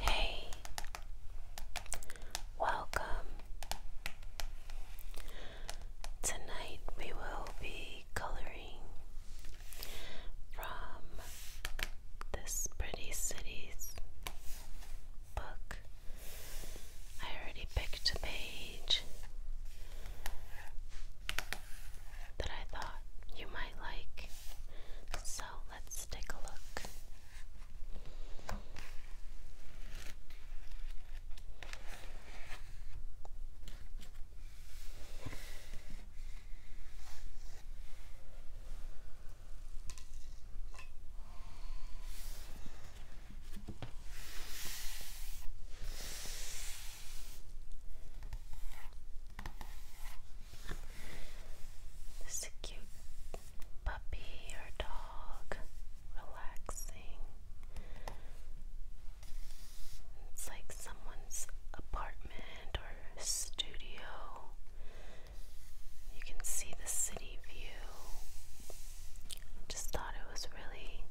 Hey, welcome. Tonight we will be coloring from this Pretty Cities book. I already picked a page that I thought you might like, so let's take a look. This is a cute puppy or dog relaxing. It's like someone's apartment or studio. You can see the city view. Just thought it was really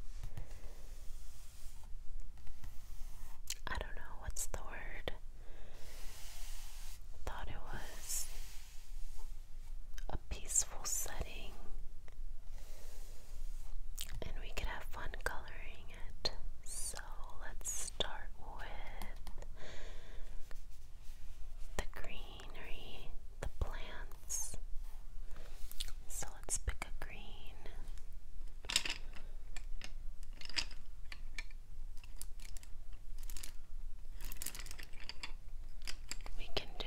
I don't know what's the word thought it was a peaceful setting and we could have fun coloring it. So let's start with the greenery, the plants. So let's pick a green. We can do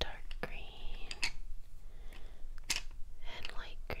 dark green and light green.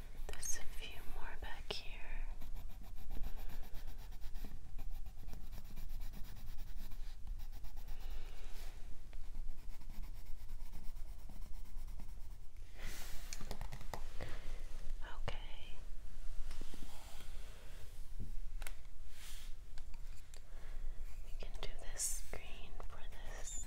There's a few more back here. Okay. We can do this screen for this.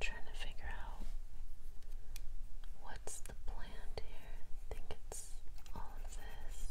Trying to figure out what's the plan here. I think it's all of this.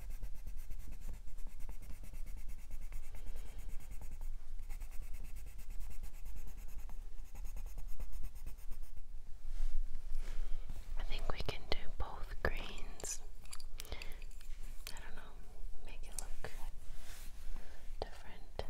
I think we can do both greens. I don't know, make it look different.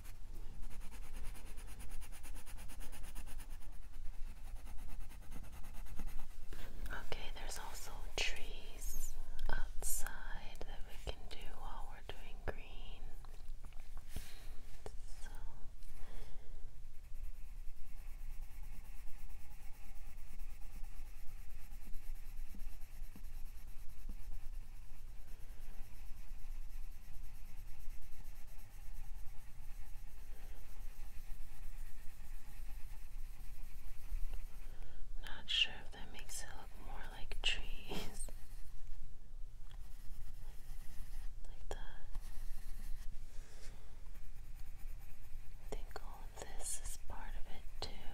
Okay, there's also trees outside that we can do while we're doing green. Not sure if that makes it look more like trees. like that. I think all of this is part of it too.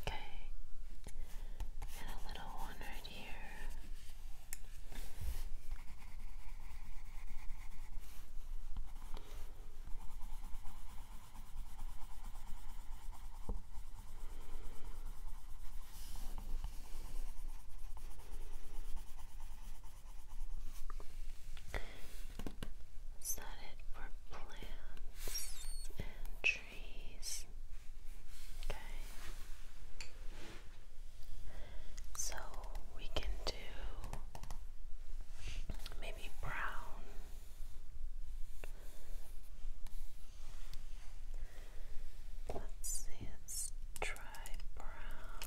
Okay, and a little one right here. Is that it for plants and trees? Okay. So we can do maybe brown. Let's see, let's try brown.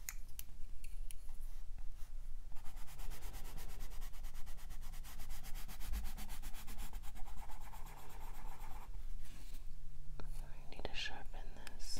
I need to sharpen this.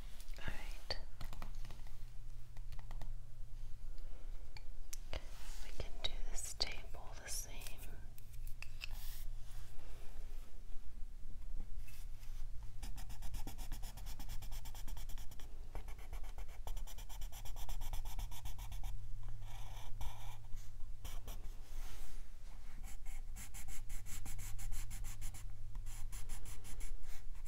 Alright. We can do this table the same.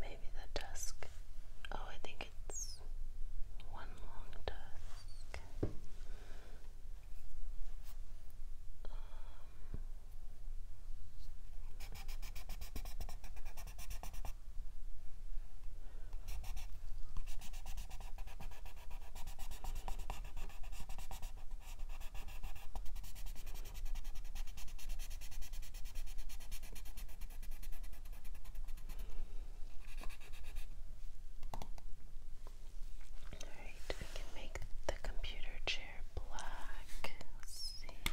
Maybe the dusk. Oh, I think it's one long dusk. Um, Alright, we can make the computer chair black. Let's see.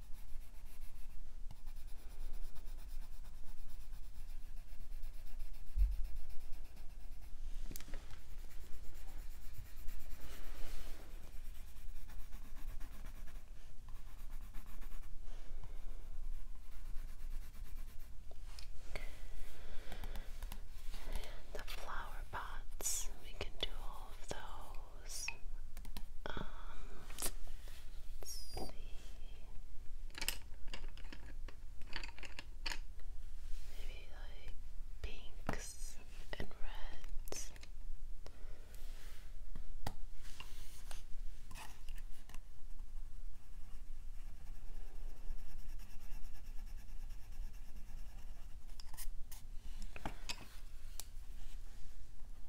And the flower pots, we can do all of those. Um, Let's see. Maybe like pinks and reds.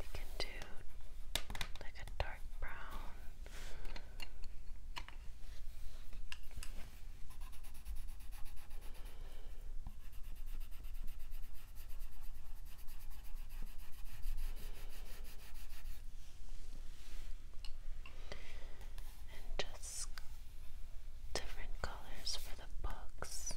We can do like a dark brown. And just different colors for the books.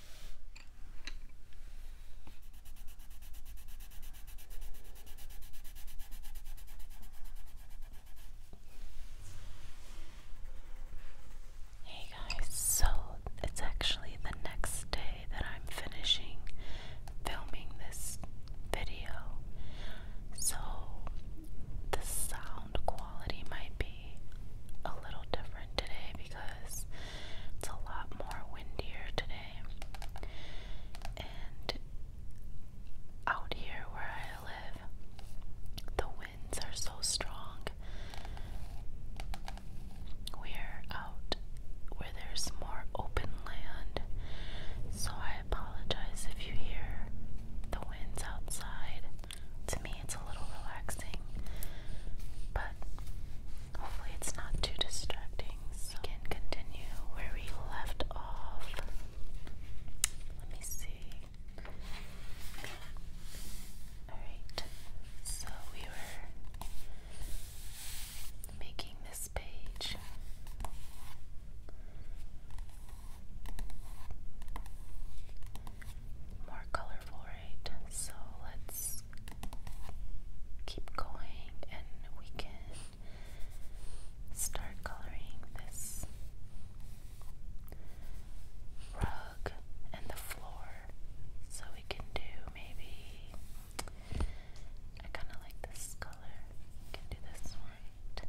Hey guys, so it's actually the next day that I'm finishing filming this video. So the sound quality might be a little different today because it's a lot more windier today. And out here where I live, the winds are so strong. We're out where there's more open land, so I apologize if you hear the winds outside to me it's a little relaxing, but hopefully it's not too distracting. So we can continue where we left off. Let me see. Alright, so we were making this page. More colorful, so let's keep going and we can start coloring this rug and the floor. So we can do maybe, I kind of like this color. We can do this white.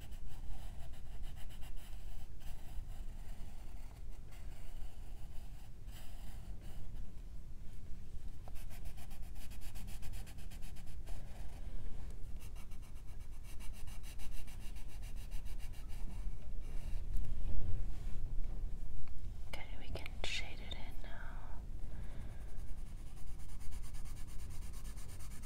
Okay, we can shade it in now.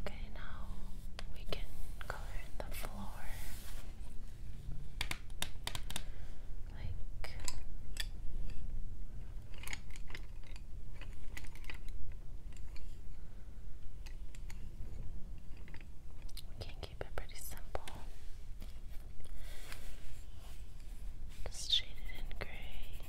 Okay, now we can color in the floor. Like we can keep it pretty simple. Just shade in gray.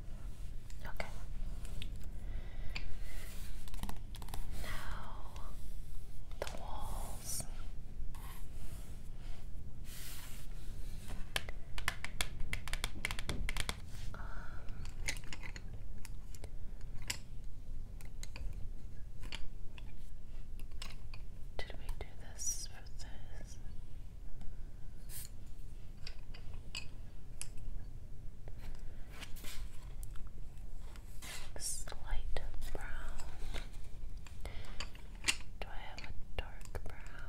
Okay. Now the walls. Um, did we do this for this? Slight brown. Do I have a dark brown?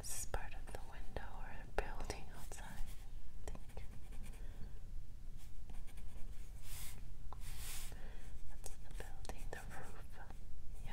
This is part of the window or building outside, I think. That's the building, the roof. Yeah.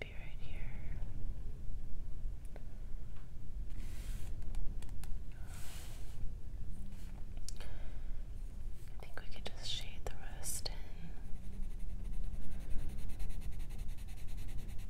Maybe right here. I think we could just shade the rest in.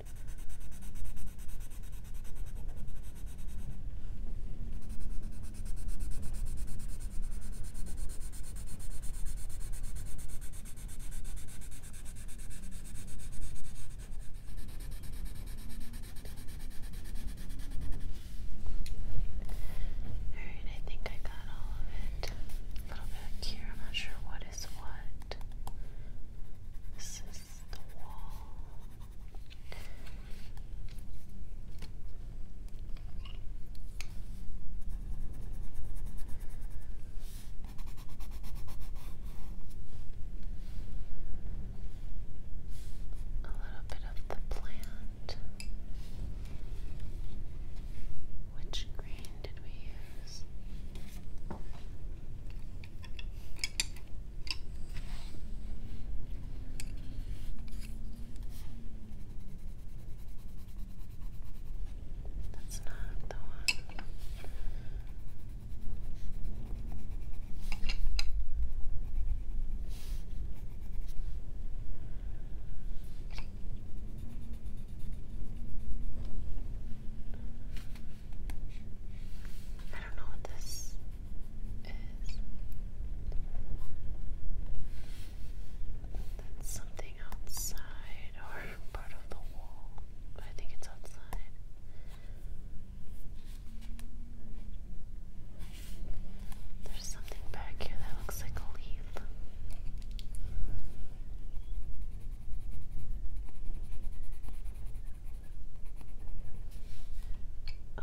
Alright, I think I got all of it. A little bit here, I'm not sure what is what. This is a little bit of the plant. Which green did we use? That's not the one. I don't know what this is. That's something outside or part of the wall. I think it's outside. There's something back here that looks like a leaf. Oh.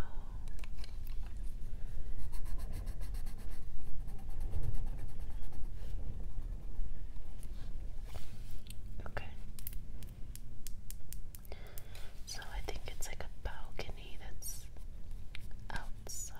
Okay. So I think it's like a balcony that's outside.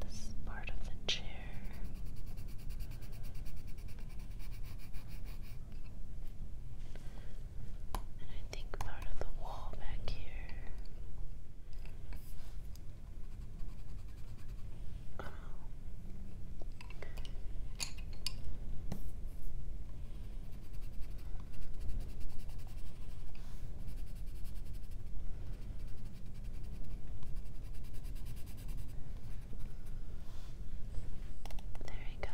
This part of the chair. And I think part of the wall back here. Um, there we go.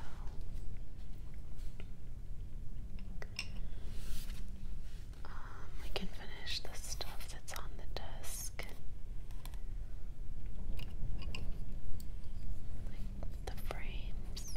Um, we can finish the stuff that's on the desk desk. Like the frames.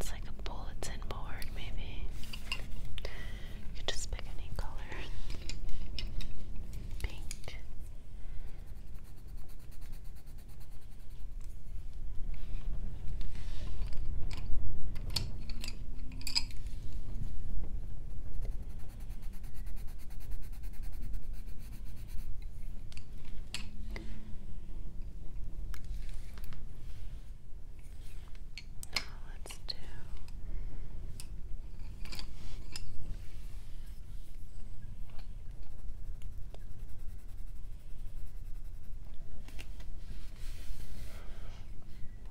It's like a bulletin board, maybe. You just pick any color. Pink. Now let's do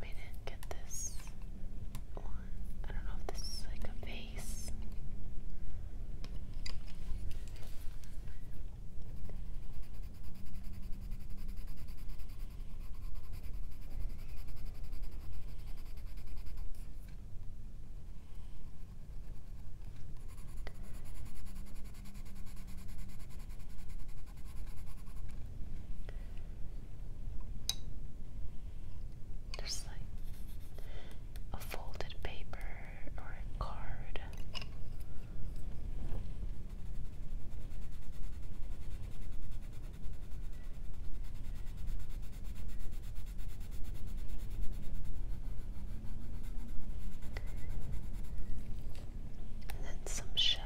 we didn't get this one. I don't know if this is like a vase. There's like a folded paper or a card and then some shelves.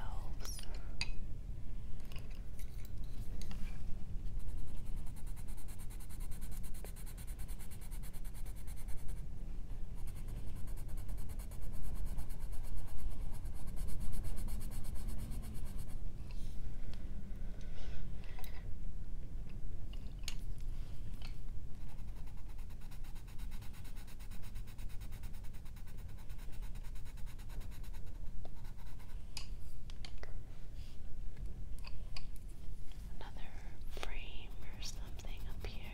Another frame or something up here.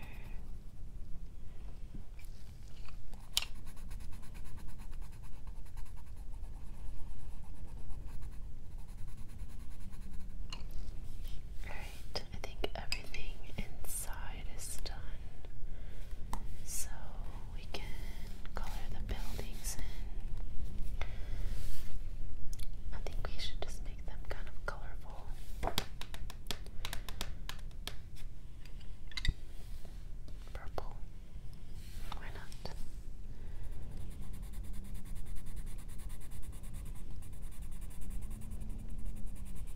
I think everything inside is done. So we can color the buildings in. I think we should just make them kind of colorful. Purple. Why not?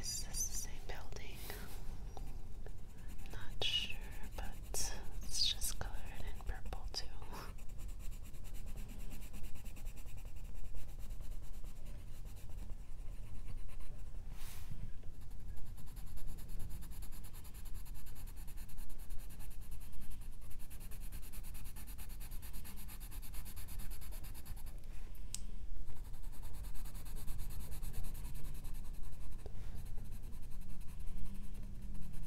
Is this the same building? not sure, but that. Let's just color it in purple too.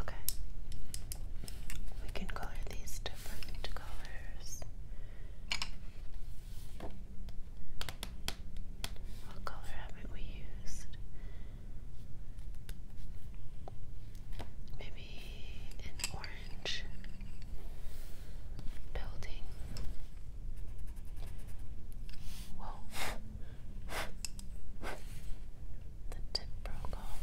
Okay. We can color these different colors. What color haven't we used? Maybe an orange orange building. Whoa. The tip broke off.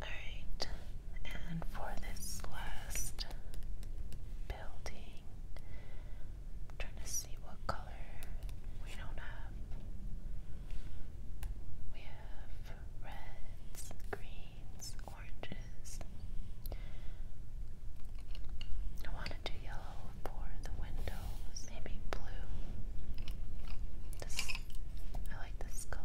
Alright, and for this last building, trying to see what color we don't have. We have reds, greens, oranges. I want to yellow for the windows, maybe blue. I like this color.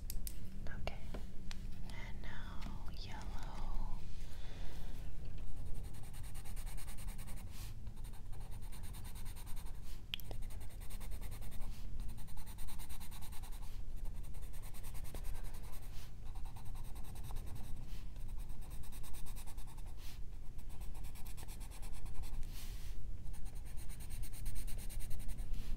Okay. And now yellow.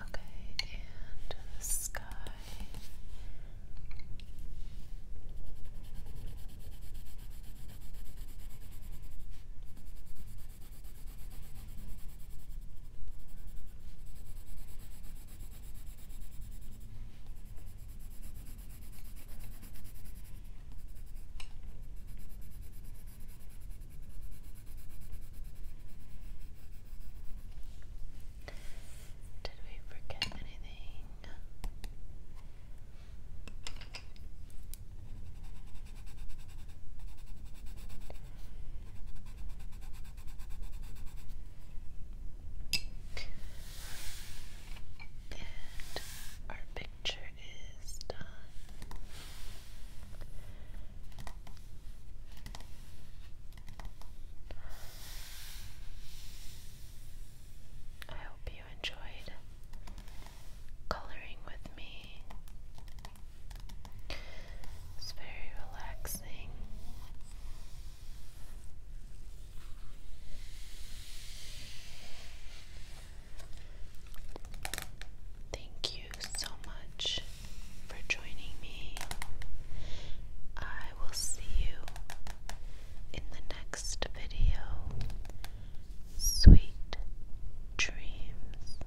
Okay, and the sky. Did we forget anything? And our picture is done. I hope you enjoyed coloring with me it's very relaxing. Thank you so much for joining me. I will see you in the next video. Sweet dreams.